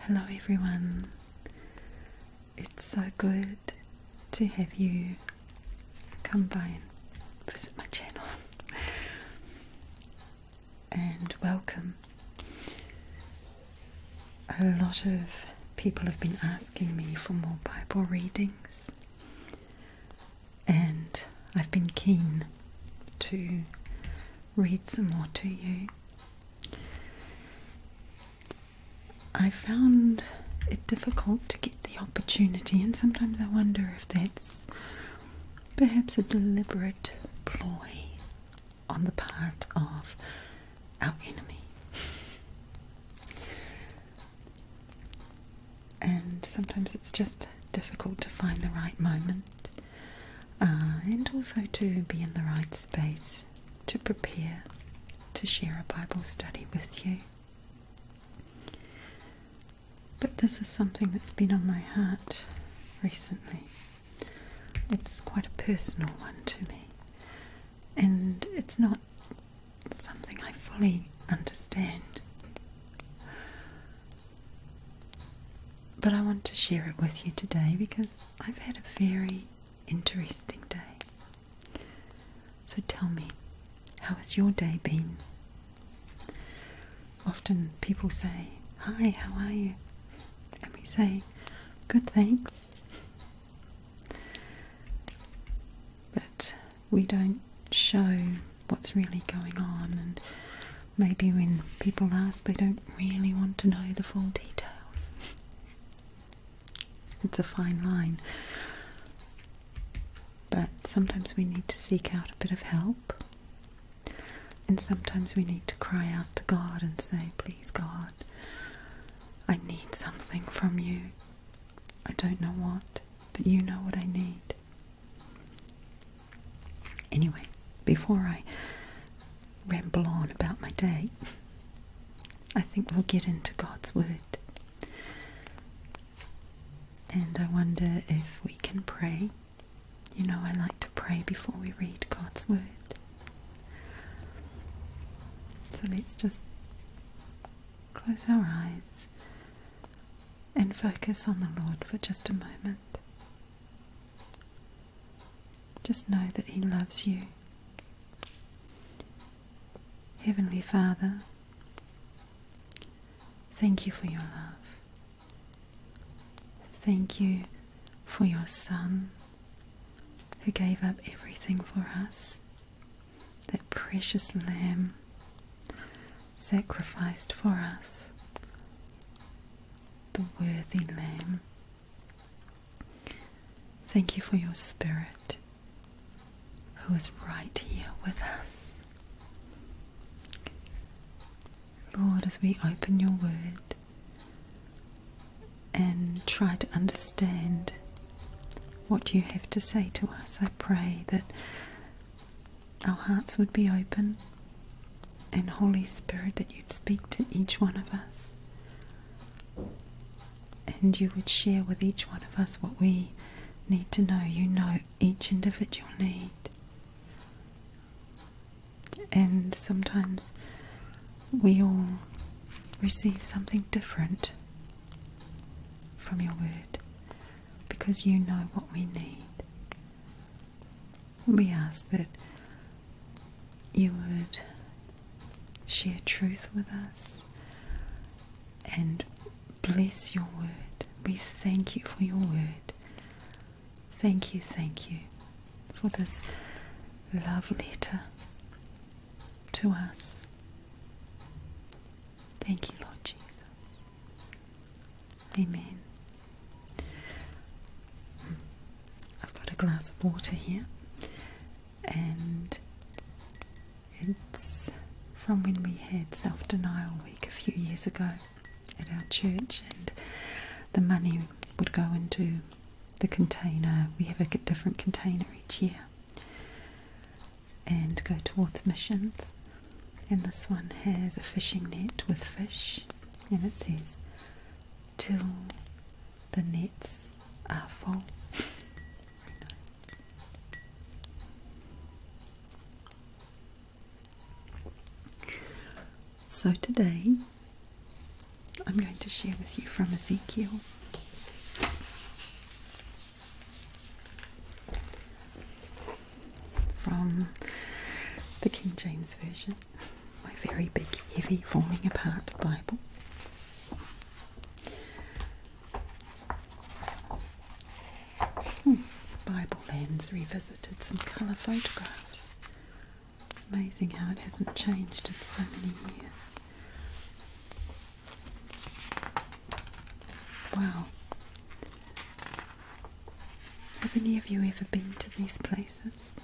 Hello, everyone. It's so good to have you come by and visit my channel. and welcome. A lot of people have been asking me for more Bible readings, and I've been keen to read some more to you. I found it difficult to get the opportunity, and sometimes I wonder if that's perhaps a deliberate ploy on the part of our enemy and sometimes it's just difficult to find the right moment uh, and also to be in the right space to prepare to share a Bible study with you. But this is something that's been on my heart recently. It's quite a personal one to me, and it's not something I fully understand. But I want to share it with you today because I've had a very interesting day. So tell me, how has your day been? Often people say, Hi, how are you? And we say, Good, thanks. But we don't show what's really going on, and maybe when people ask, they don't really want to know the full details. it's a fine line. But sometimes we need to seek out a bit of help. And sometimes we need to cry out to God and say, Please, God, I need something from you. I don't know what, but you know what I need. Anyway, before I ramble on about my day, I think we'll get into God's Word. And I wonder if we can pray. You know, I like to pray before we read God's Word. So let's just Close our eyes and focus on the Lord for just a moment. Just know that He loves you. Heavenly Father, thank you for your love. Thank you for your Son who gave up everything for us that precious Lamb sacrificed for us, the worthy Lamb. Thank you for your Spirit who is right here with us. Lord, as we open your word, and try to understand what you have to say to us. I pray that our hearts would be open and, Holy Spirit, that you'd speak to each one of us and you would share with each one of us what we need to know. You know each individual need. And sometimes we all receive something different from your word because you know what we need. We ask that you would share truth with us and bless your word. We thank you for your word. Thank you, thank you for this love letter to us. Thank you, Lord Jesus. Amen. I've got a glass of water here, and it's from when we had Self Denial Week a few years ago at our church, and the money would go into the container. We have a different container each year, and go towards missions. And this one has a fishing net with fish, and it says, Till the nets are full. So today, I'm going to share with you from Ezekiel from the King James Version, my very big, heavy, falling apart Bible. Hmm, Bible lens revisited some colour photographs. Amazing how it hasn't changed in so many years. Wow. Have any of you ever been to these places?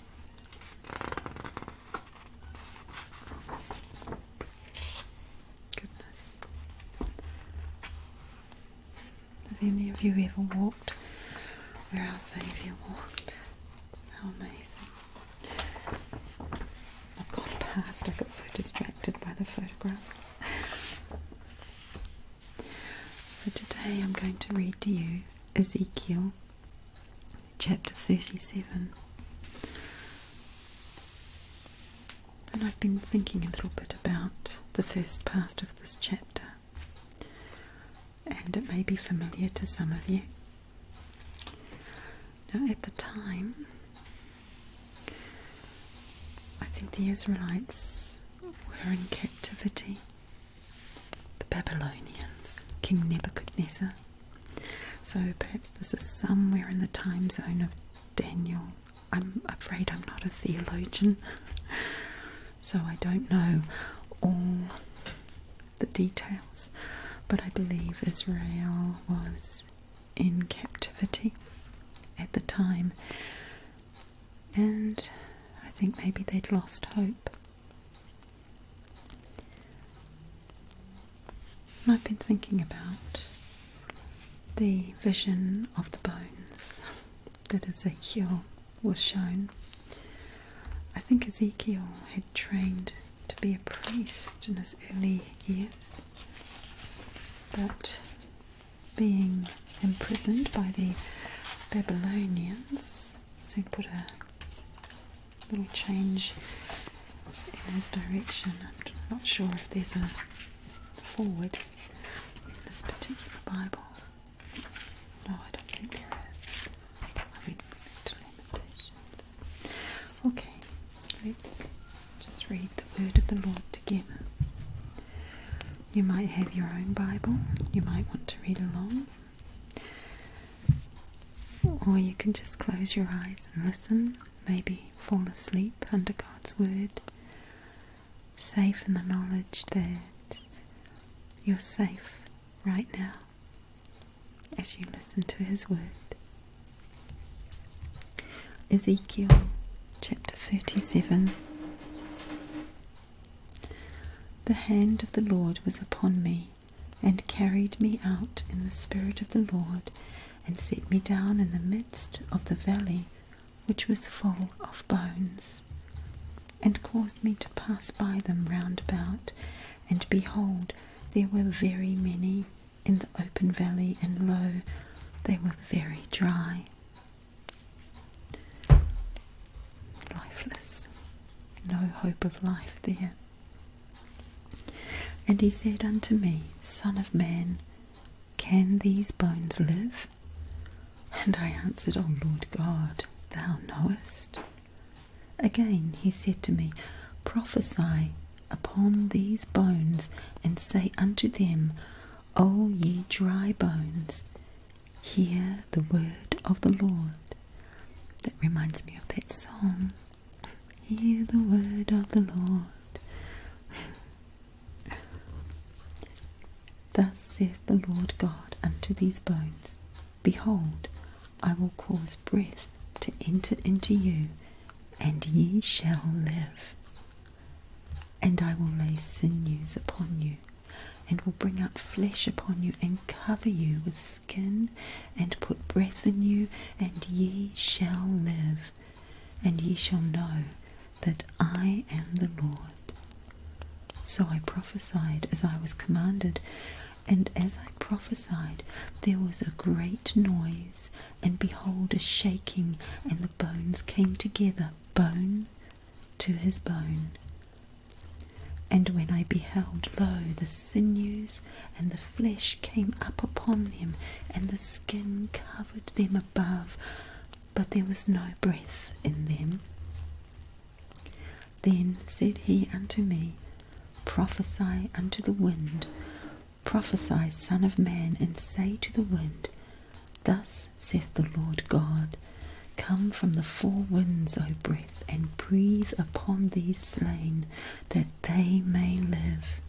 Goodness. Have any of you ever walked where our Saviour walked? How amazing. I've gone past, I got so distracted by the photographs. So today I'm going to read to you Ezekiel chapter 37. And I've been thinking a little bit about the first part of this chapter, and it may be familiar to some of you. Now, at the time, I think the Israelites were in captivity. The Babylonians, King Nebuchadnezzar. So perhaps this is somewhere in the time zone of Daniel. I'm afraid I'm not a theologian, so I don't know all the details, but I believe Israel was in captivity at the time, and I think maybe they'd lost hope. I've been thinking about the vision of the bones that Ezekiel was shown. I think Ezekiel had trained to be a priest in his early years, but being imprisoned by the Babylonians, soon put a little change in his direction. I'm not sure if there's a forward in this particular Bible. No, I don't think there is. Okay, let's just read the word of the Lord together. You might have your own Bible, you might want to read along, or you can just close your eyes and listen, maybe fall asleep under God's word, safe in the knowledge that you're safe right now as you listen to his word. Ezekiel chapter 37 The hand of the Lord was upon me, and carried me out in the spirit of the Lord, and set me down in the midst of the valley which was full of bones, and caused me to pass by them round about, and behold, there were very many in the open valley, and lo, they were very dry, lifeless, no hope of life there. And he said unto me, Son of man, can these bones live? And I answered, O Lord God, thou knowest. Again he said to me, Prophesy upon these bones, and say unto them, O ye dry bones, hear the word of the Lord. That reminds me of that song. Hear the word of the Lord. Thus saith the Lord God unto these bones Behold, I will cause breath to enter into you, and ye shall live. And I will lay sinews upon you, and will bring up flesh upon you, and cover you with skin, and put breath in you, and ye shall live. And ye shall know that I am the Lord. So I prophesied as I was commanded. And as I prophesied, there was a great noise, and behold, a shaking, and the bones came together, bone to his bone. And when I beheld, lo, the sinews and the flesh came up upon them, and the skin covered them above, but there was no breath in them. Then said he unto me, Prophesy unto the wind, prophesy, Son of Man, and say to the wind, Thus saith the Lord God, Come from the four winds, O breath, and breathe upon these slain, that they may live.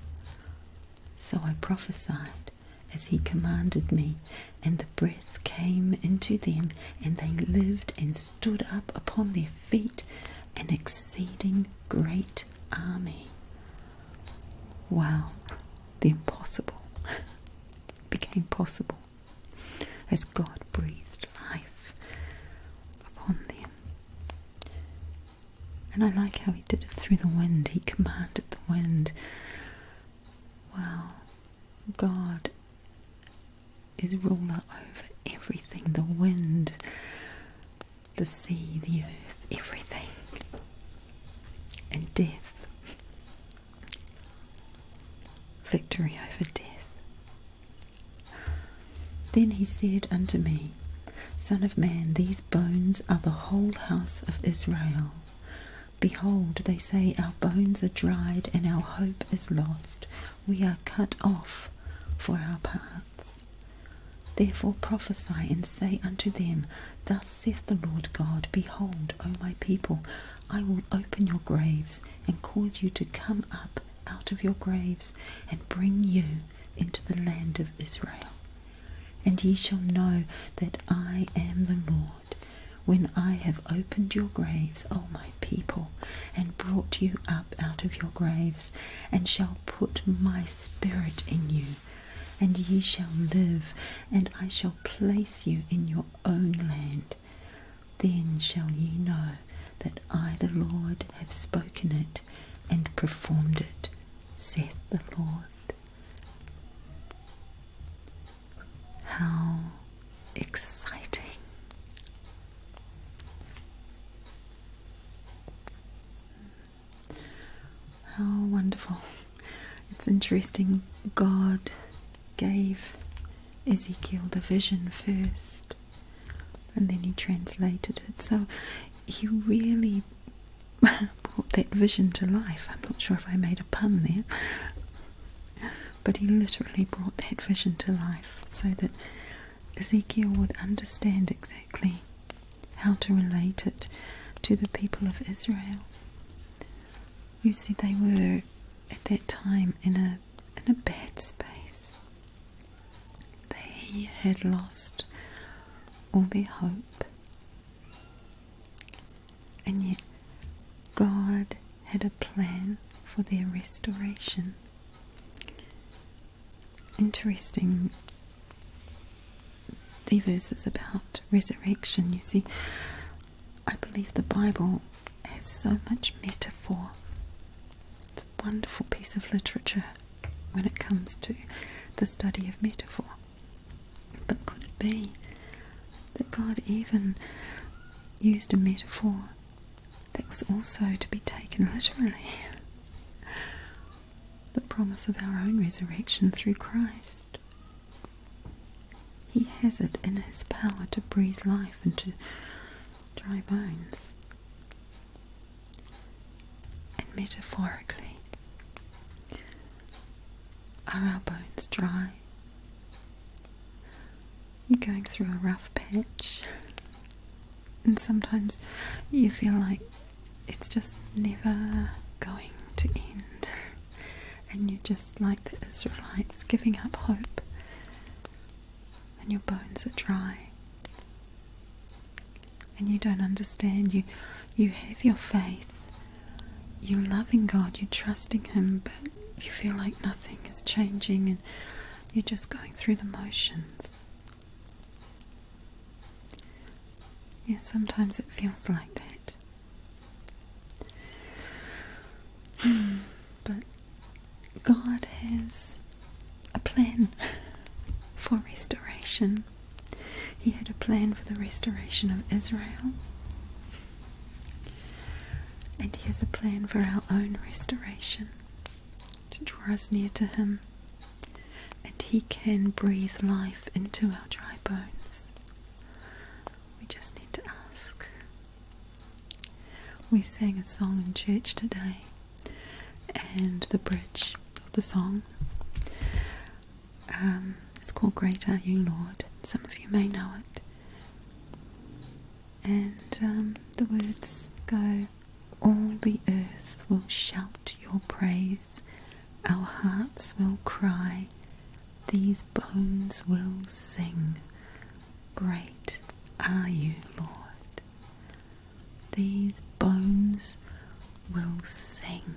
So I prophesied as he commanded me, and the breath came into them, and they lived and stood up upon their feet an exceeding great army. Wow, the impossible became possible as God breathed life upon them. And I like how he did it through the wind, he commanded the wind. Wow, God is ruler over everything the wind, the sea, the earth, everything. And death. Victory over death. Then he said unto me, Son of man, these bones are the whole house of Israel. Behold, they say, Our bones are dried, and our hope is lost we are cut off for our paths. Therefore prophesy and say unto them, Thus saith the Lord God, Behold, O my people, I will open your graves, and cause you to come up out of your graves, and bring you into the land of Israel. And ye shall know that I am the Lord, when I have opened your graves, O my people and brought you up out of your graves, and shall put my spirit in you, and ye shall live, and I shall place you in your own land. Then shall ye know that I, the Lord, have spoken it and performed it, saith the Lord. How exciting! How oh, wonderful. It's interesting, God gave Ezekiel the vision first and then he translated it. So he really brought that vision to life. I'm not sure if I made a pun there, but he literally brought that vision to life so that Ezekiel would understand exactly how to relate it to the people of Israel. You see, they were at that time in a in a bad space. They had lost all their hope. And yet, God had a plan for their restoration interesting the verses about resurrection. You see, I believe the Bible has so much metaphor. It's a wonderful piece of literature when it comes to the study of metaphor. But could it be that God even used a metaphor that was also to be taken literally the promise of our own resurrection through Christ. He has it in his power to breathe life into dry bones. And metaphorically, are our bones dry? you're going through a rough patch, and sometimes you feel like it's just never going to end, and you're just like the Israelites giving up hope, and your bones are dry, and you don't understand. You, you have your faith, you're loving God, you're trusting Him, but you feel like nothing is changing, and you're just going through the motions. Yeah, sometimes it feels like that. Hmm, but God has a plan for restoration. He had a plan for the restoration of Israel. And he has a plan for our own restoration to draw us near to Him, and He can breathe life into our dry bones. We just need to ask. We sang a song in church today, and the bridge of the song um, it's called Great Are You, Lord. Some of you may know it. And um, the words go all the earth will shout your praise, our hearts will cry, these bones will sing. Great are you, Lord. These bones will sing,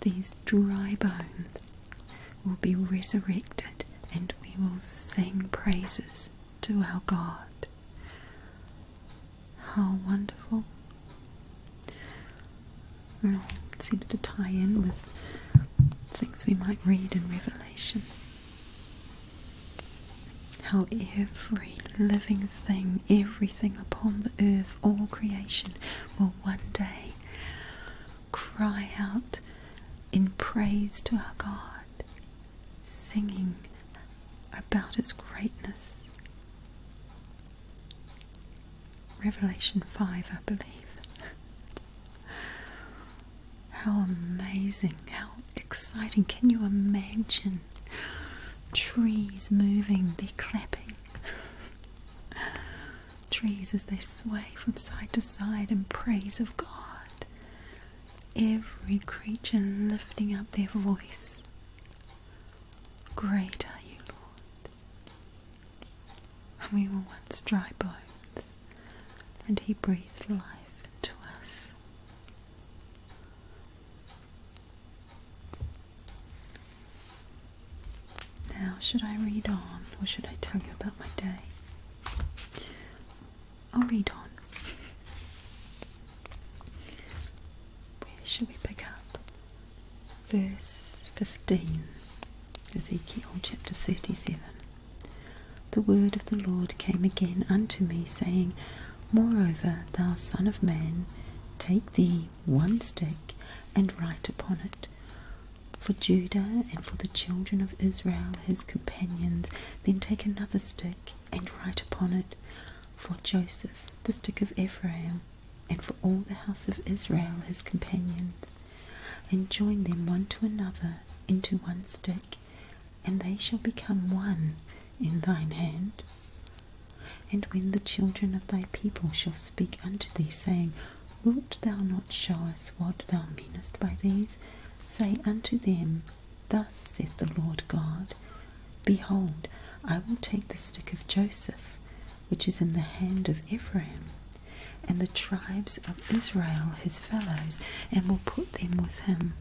these dry bones will be resurrected, and we will sing praises to our God. How wonderful. Well, it seems to tie in with things we might read in Revelation. How every living thing, everything upon the earth, all creation, will one day cry out in praise to our God singing about its greatness. Revelation 5, I believe. how amazing, how exciting. Can you imagine trees moving, they're clapping? trees as they sway from side to side in praise of God every creature lifting up their voice. Great are you, Lord. We were once dry bones, and He breathed life into us. Now, should I read on or should I tell you about my day? I'll read on. Where should we pick up? Verse 15, Ezekiel chapter 37. The word of the Lord came again unto me, saying, Moreover, thou son of man, take thee one stick and write upon it. For Judah and for the children of Israel his companions, then take another stick and write upon it, For Joseph, the stick of Ephraim, and for all the house of Israel his companions, and join them one to another into one stick, and they shall become one in thine hand. And when the children of thy people shall speak unto thee, saying, Wilt thou not show us what thou meanest by these? Say unto them, Thus saith the Lord God Behold, I will take the stick of Joseph, which is in the hand of Ephraim, and the tribes of Israel his fellows, and will put them with him,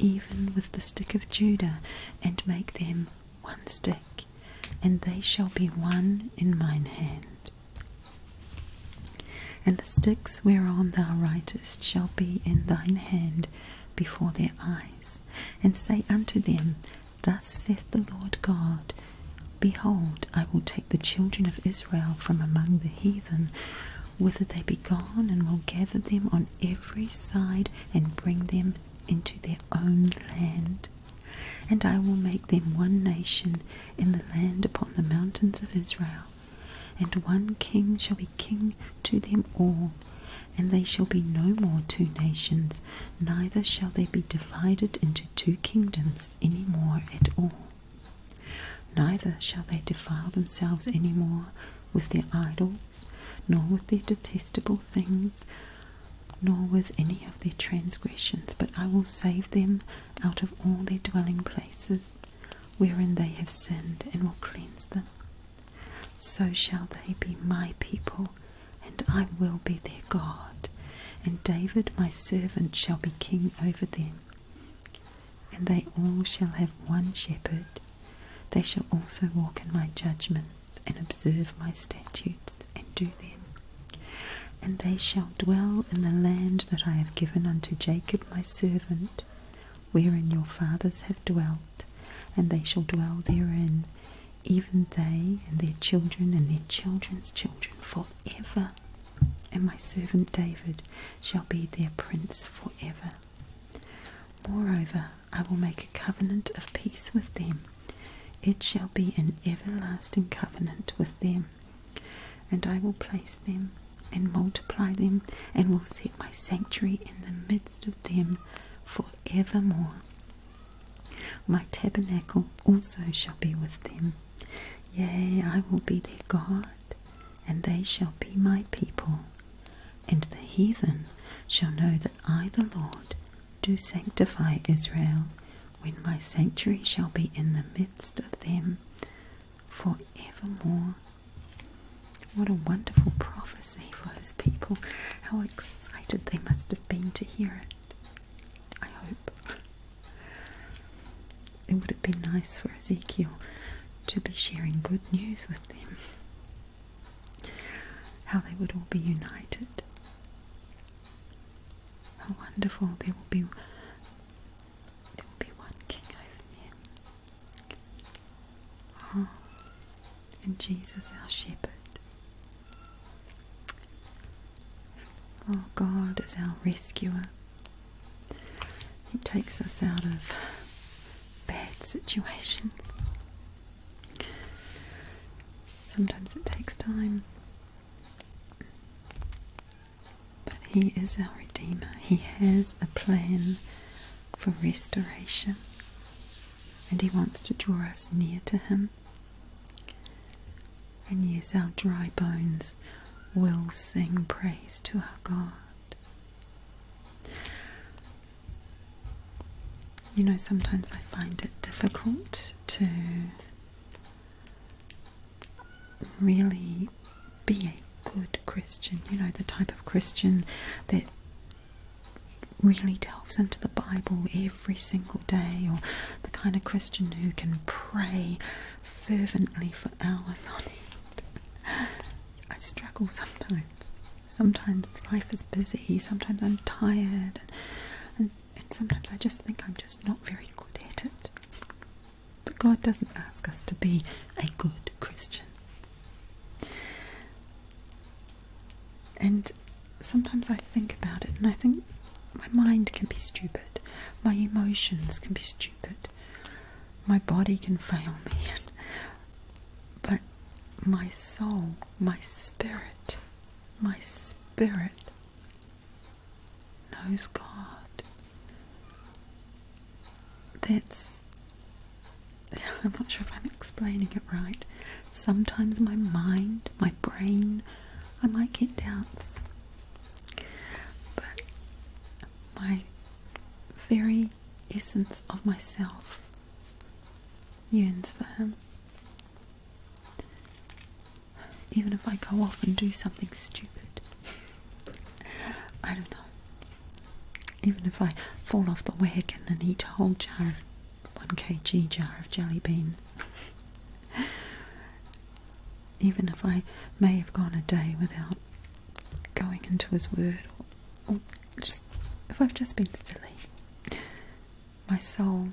even with the stick of Judah, and make them one stick, and they shall be one in mine hand. And the sticks whereon thou writest shall be in thine hand before their eyes, and say unto them, Thus saith the Lord God, Behold, I will take the children of Israel from among the heathen, whither they be gone, and will gather them on every side, and bring them into their own land. And I will make them one nation in the land upon the mountains of Israel and one king shall be king to them all, and they shall be no more two nations, neither shall they be divided into two kingdoms any more at all. Neither shall they defile themselves any more with their idols, nor with their detestable things, nor with any of their transgressions, but I will save them out of all their dwelling places, wherein they have sinned, and will cleanse them. So shall they be my people, and I will be their God, and David my servant shall be king over them. And they all shall have one shepherd. They shall also walk in my judgments, and observe my statutes, and do them. And they shall dwell in the land that I have given unto Jacob my servant, wherein your fathers have dwelt, and they shall dwell therein, even they and their children and their children's children forever. And my servant David shall be their prince forever. Moreover, I will make a covenant of peace with them. It shall be an everlasting covenant with them, and I will place them and multiply them, and will set my sanctuary in the midst of them for evermore. My tabernacle also shall be with them. Yea, I will be their God, and they shall be my people. And the heathen shall know that I, the Lord, do sanctify Israel, when my sanctuary shall be in the midst of them for evermore what a wonderful prophecy for his people. How excited they must have been to hear it. I hope. It would have been nice for Ezekiel to be sharing good news with them. How they would all be united. How wonderful there will be there will be one king over them and Jesus, our shepherd. Oh, God is our rescuer. He takes us out of bad situations. Sometimes it takes time. But He is our Redeemer. He has a plan for restoration, and He wants to draw us near to Him. And yes, our dry bones will sing praise to our God. You know, sometimes I find it difficult to really be a good Christian, you know, the type of Christian that really delves into the Bible every single day, or the kind of Christian who can pray fervently for hours on end. I struggle sometimes. Sometimes life is busy, sometimes I'm tired, and, sometimes I just think I'm just not very good at it. But God doesn't ask us to be a good Christian. And sometimes I think about it and I think my mind can be stupid, my emotions can be stupid, my body can fail me, but my soul, my spirit, my spirit knows God. That's. I'm not sure if I'm explaining it right. Sometimes my mind, my brain, I might get doubts. But my very essence of myself yearns Even if I go off and do something stupid. I don't know. Even if I fall off the wagon and eat a whole jar, one kg jar of jelly beans. Even if I may have gone a day without going into his word, or, just if I've just been silly, my soul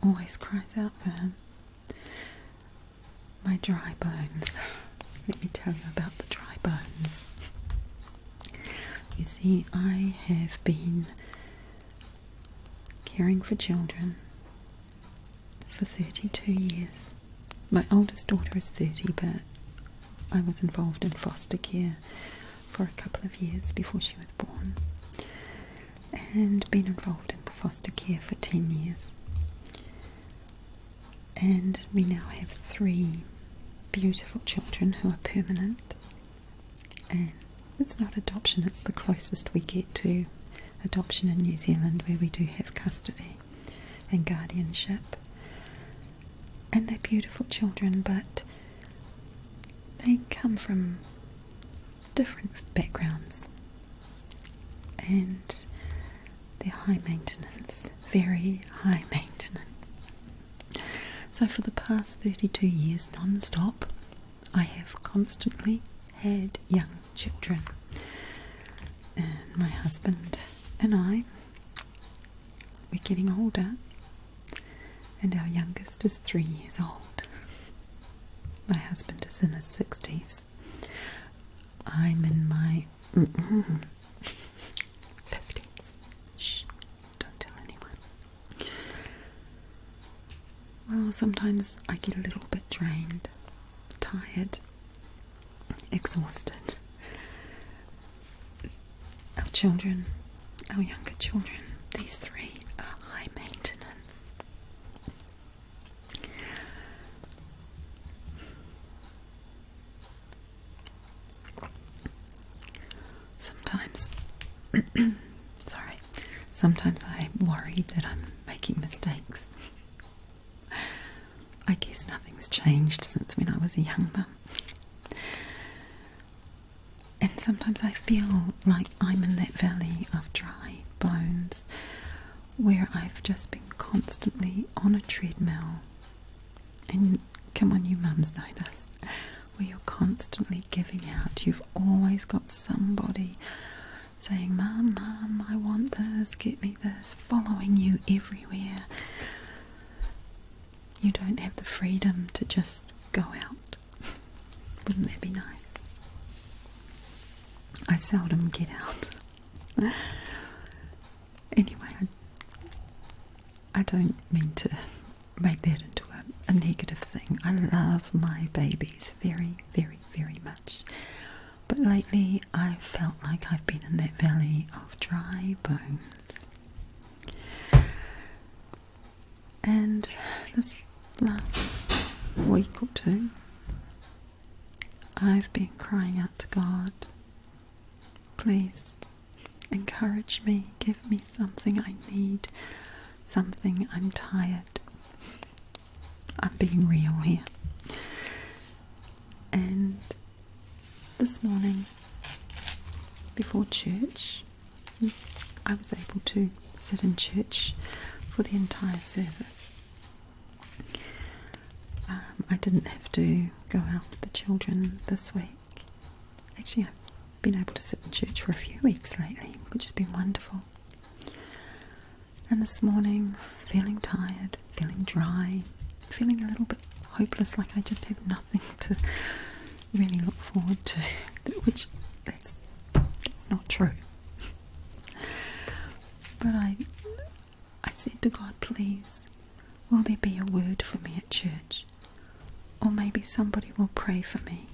always cries out for him. My dry bones. Let me tell you about the dry bones. You see, I have been caring for children for 32 years. My oldest daughter is 30, but I was involved in foster care for a couple of years before she was born and been involved in foster care for 10 years. And we now have three beautiful children who are permanent. And it's not adoption, it's the closest we get to adoption in New Zealand where we do have custody and guardianship. And they're beautiful children, but they come from different backgrounds and they're high maintenance, very high maintenance. So, for the past 32 years, non stop, I have constantly had young children, and my husband and I, we're getting older, and our youngest is three years old. My husband is in his 60s. I'm in my mm-hmm. fifties. Shh, don't tell anyone. Well, sometimes I get a little bit drained, tired, exhausted. Our children, our younger children, these three are high maintenance. Sometimes, sorry, sometimes I worry that I'm making mistakes. I guess nothing's changed since when I was a young mum. And sometimes I feel like I'm in that valley of dry bones where I've just been constantly on a treadmill. And come on, you mums know this. Where you're constantly giving out, you've always got somebody saying, Mum, Mum, I want this, get me this, following you everywhere. You don't have the freedom to just go out. Wouldn't that be nice? I seldom get out. anyway, I, I don't mean to make that into a, negative thing. I love my babies very, very, very much. But lately I felt like I've been in that valley of dry bones. And this last week or two, I've been crying out to God, please encourage me, give me something I need, something I'm tired. I'm being real here. And this morning, before church, I was able to sit in church for the entire service. Um, I didn't have to go out with the children this week. Actually, I've been able to sit in church for a few weeks lately, which has been wonderful. And this morning, feeling tired, feeling dry, feeling a little bit hopeless, like I just have nothing to really look forward to, which that's, that's not true. But I, I said to God, please, will there be a word for me at church? Or maybe somebody will pray for me.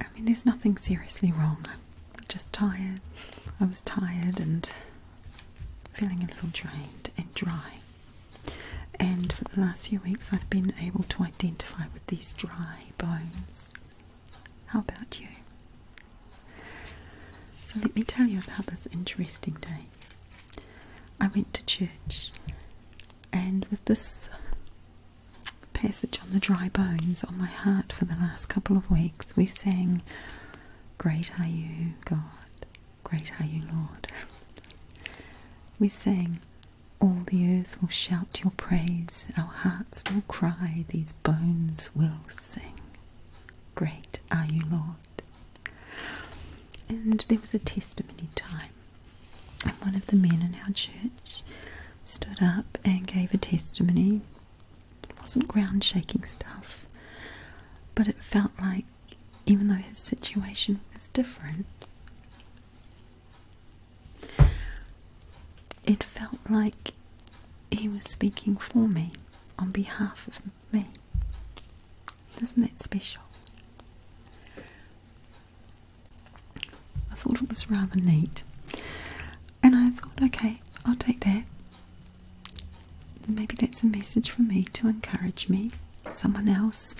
I mean, there's nothing seriously wrong. I'm just tired. I was tired and feeling a little drained and dry. And for the last few weeks, I've been able to identify with these dry bones. How about you? So, let me tell you about this interesting day. I went to church, and with this passage on the dry bones on my heart for the last couple of weeks, we sang, Great are you, God, great are you, Lord. We sang, all the earth will shout your praise, our hearts will cry, these bones will sing. Great are you, Lord. And there was a testimony time, and one of the men in our church stood up and gave a testimony. It wasn't ground shaking stuff, but it felt like even though his situation was different, it felt like he was speaking for me, on behalf of me. Isn't that special? I thought it was rather neat. And I thought, okay, I'll take that. Maybe that's a message for me to encourage me. Someone else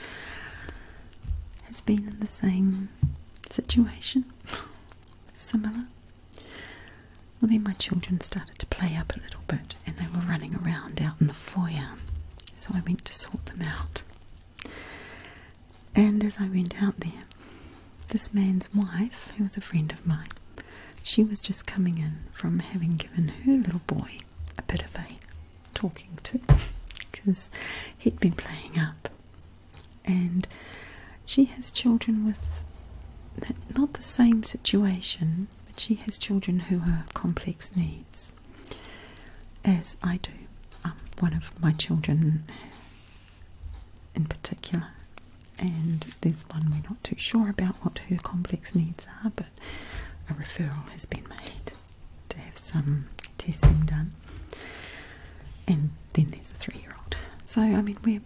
has been in the same situation similar. Well, then my children started to play up a little bit and they were running around out in the foyer, so I went to sort them out. And as I went out there, this man's wife, who was a friend of mine, she was just coming in from having given her little boy a bit of a talking to because he'd been playing up and she has children with not the same situation, but she has children who have complex needs, as I do. one of my children, in particular, and there's one we're not too sure about what her complex needs are, but a referral has been made to have some testing done. And then there's a three-year-old. So I mean, we're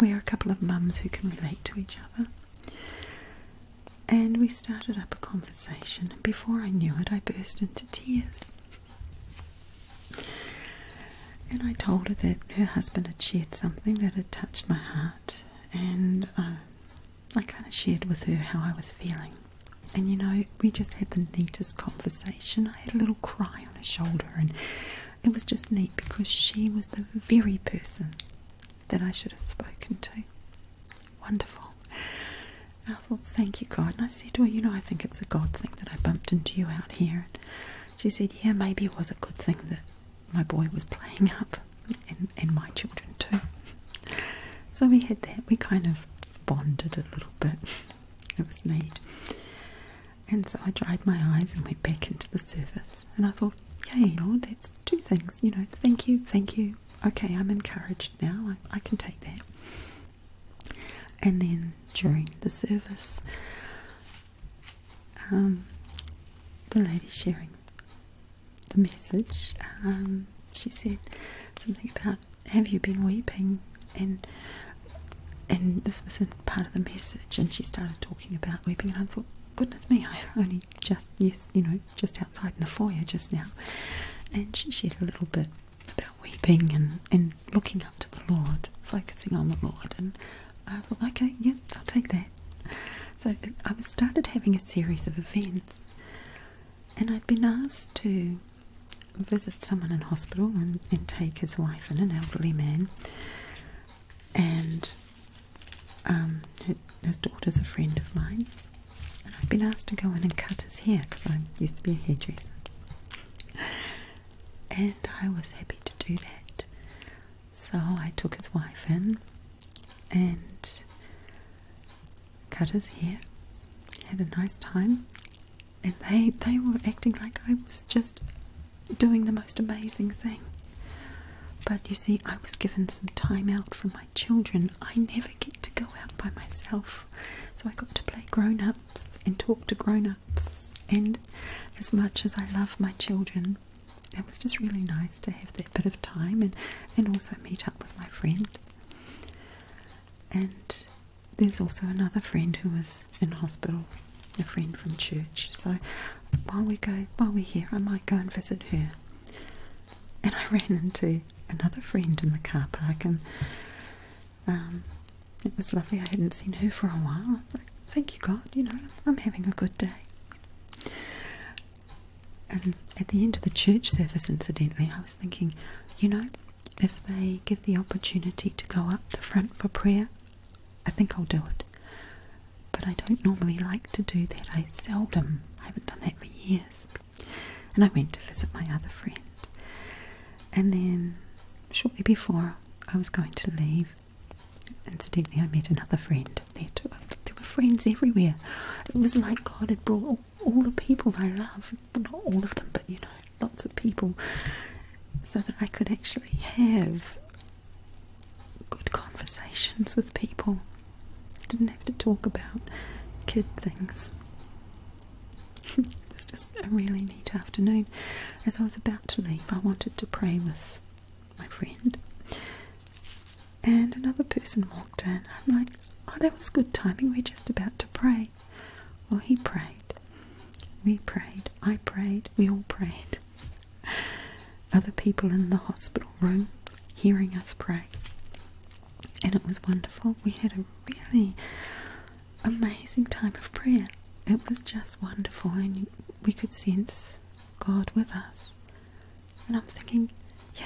we're a couple of mums who can relate to each other. And we started up a conversation, and before I knew it, I burst into tears. And I told her that her husband had shared something that had touched my heart, and uh, I kind of shared with her how I was feeling. And you know, we just had the neatest conversation. I had a little cry on her shoulder, and it was just neat because she was the very person that I should have spoken to. Wonderful. I thought, thank you, God. And I said to her, you know, I think it's a God thing that I bumped into you out here. And she said, yeah, maybe it was a good thing that my boy was playing up, and, and my children too. So we had that. We kind of bonded a little bit. It was neat. And so I dried my eyes and went back into the service. And I thought, yay, Lord, that's two things. You know, thank you, thank you. Okay, I'm encouraged now. I, can take that. And then during the service, um, the lady sharing the message, um, she said something about have you been weeping and and this wasn't part of the message and she started talking about weeping and I thought goodness me I only just yes you know just outside in the foyer just now and she shared a little bit about weeping and, and looking up to the Lord focusing on the Lord and I thought okay yeah I'll take that so I started having a series of events and I'd been asked to visit someone in hospital and, take his wife and an elderly man and um, his daughter's a friend of mine and I've been asked to go in and cut his hair because I used to be a hairdresser and I was happy to do that so I took his wife in and cut his hair had a nice time and they they were acting like I was just doing the most amazing thing. But you see, I was given some time out from my children. I never get to go out by myself. So I got to play grown ups and talk to grown ups. And as much as I love my children, it was just really nice to have that bit of time and, and also meet up with my friend. And there's also another friend who was in hospital, a friend from church. So while we go, while we're here, I might go and visit her. And I ran into another friend in the car park, and um, it was lovely. I hadn't seen her for a while. Thank you, God. You know, I'm having a good day. And at the end of the church service, incidentally, I was thinking, you know, if they give the opportunity to go up the front for prayer, I think I'll do it. But I don't normally like to do that. I seldom, I haven't done that for years. And I went to visit my other friend. And then shortly before I was going to leave, incidentally, I met another friend there There were friends everywhere. It was like God had brought all all the people I love, not all of them, but you know, lots of people, so that I could actually have good conversations with people. I didn't have to talk about kid things. it was just a really neat afternoon. As I was about to leave, I wanted to pray with my friend, and another person walked in. I'm like, oh, that was good timing. We're just about to pray. Well, he prayed. We prayed. I prayed. We all prayed. Other people in the hospital room hearing us pray. And it was wonderful. We had a really amazing time of prayer. It was just wonderful, and we could sense God with us. And I'm thinking,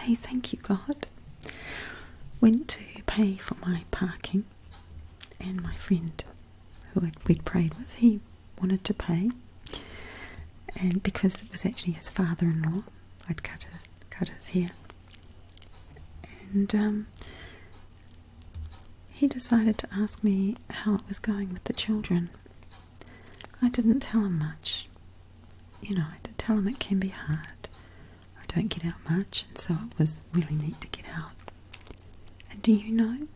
Yay, thank you, God. Went to pay for my parking, and my friend who we'd prayed with, he wanted to pay, and because it was actually his father-in-law, I'd cut his cut hair, and um, he decided to ask me how it was going with the children. I didn't tell him much. You know, I did tell him it can be hard. I don't get out much, and so it was really neat to get out. And do you know,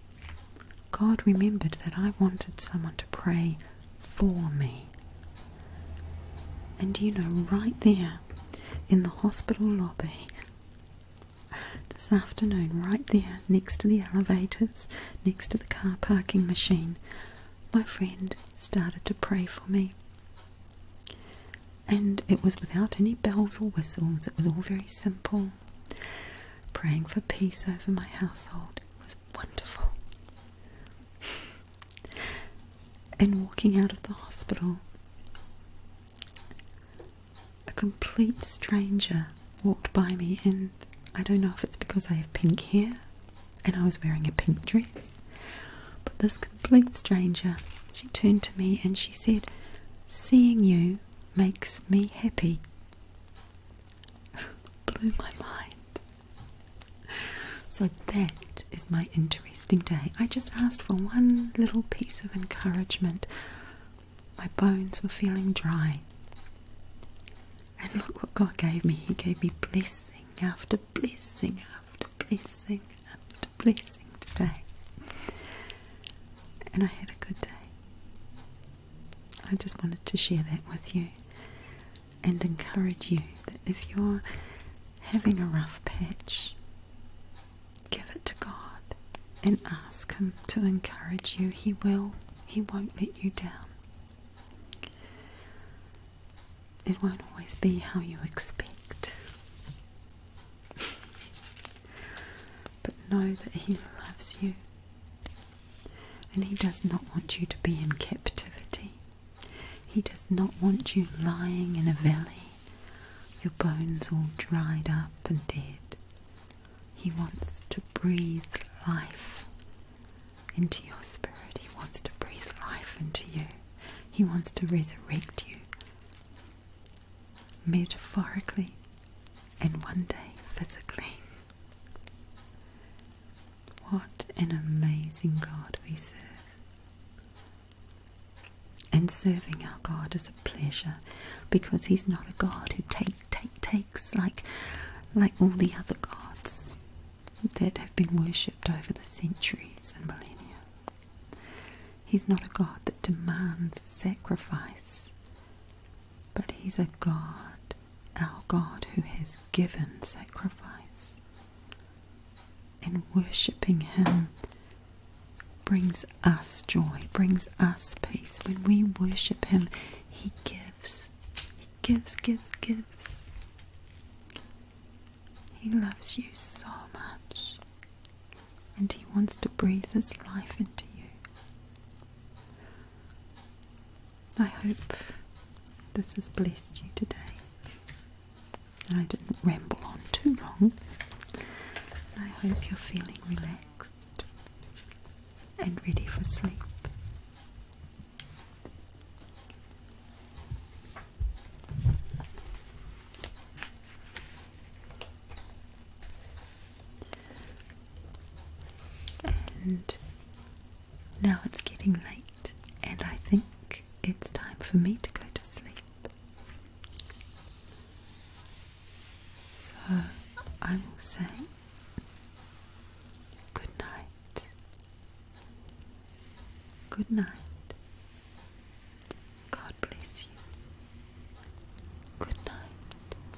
God remembered that I wanted someone to pray for me. And do you know, right there in the hospital lobby this afternoon, right there next to the elevators, next to the car parking machine, my friend started to pray for me. And it was without any bells or whistles, it was all very simple. Praying for peace over my household, was wonderful. and walking out of the hospital, a complete stranger walked by me, and I don't know if it's because I have pink hair and I was wearing a pink dress, but this complete stranger, she turned to me and she said, Seeing you makes me happy. Blew my mind. So that is my interesting day. I just asked for one little piece of encouragement. My bones were feeling dry. And look what God gave me. He gave me blessing after blessing after blessing after blessing today. And I had a good day. I just wanted to share that with you and encourage you that if you're having a rough patch, give it to God and ask Him to encourage you. He will, He won't let you down it won't always be how you expect. but know that He loves you. And He does not want you to be in captivity. He does not want you lying in a valley, your bones all dried up and dead. He wants to breathe life into your spirit. He wants to breathe life into you. He wants to resurrect you metaphorically and one day physically. What an amazing God we serve. And serving our God is a pleasure because He's not a God who take, take, takes like, like all the other gods that have been worshipped over the centuries and millennia. He's not a God that demands sacrifice, but He's a God, our God, who has given sacrifice. And worshipping Him brings us joy, brings us peace. When we worship Him, He gives. He gives, gives, gives. He loves you so much, and He wants to breathe His life into you. I hope this has blessed you today. And I didn't ramble on too long. I hope you're feeling relaxed and ready for sleep. And now it's getting late, and I think it's time for me to go to sleep. So I will say good night Good night. God bless you. Good night.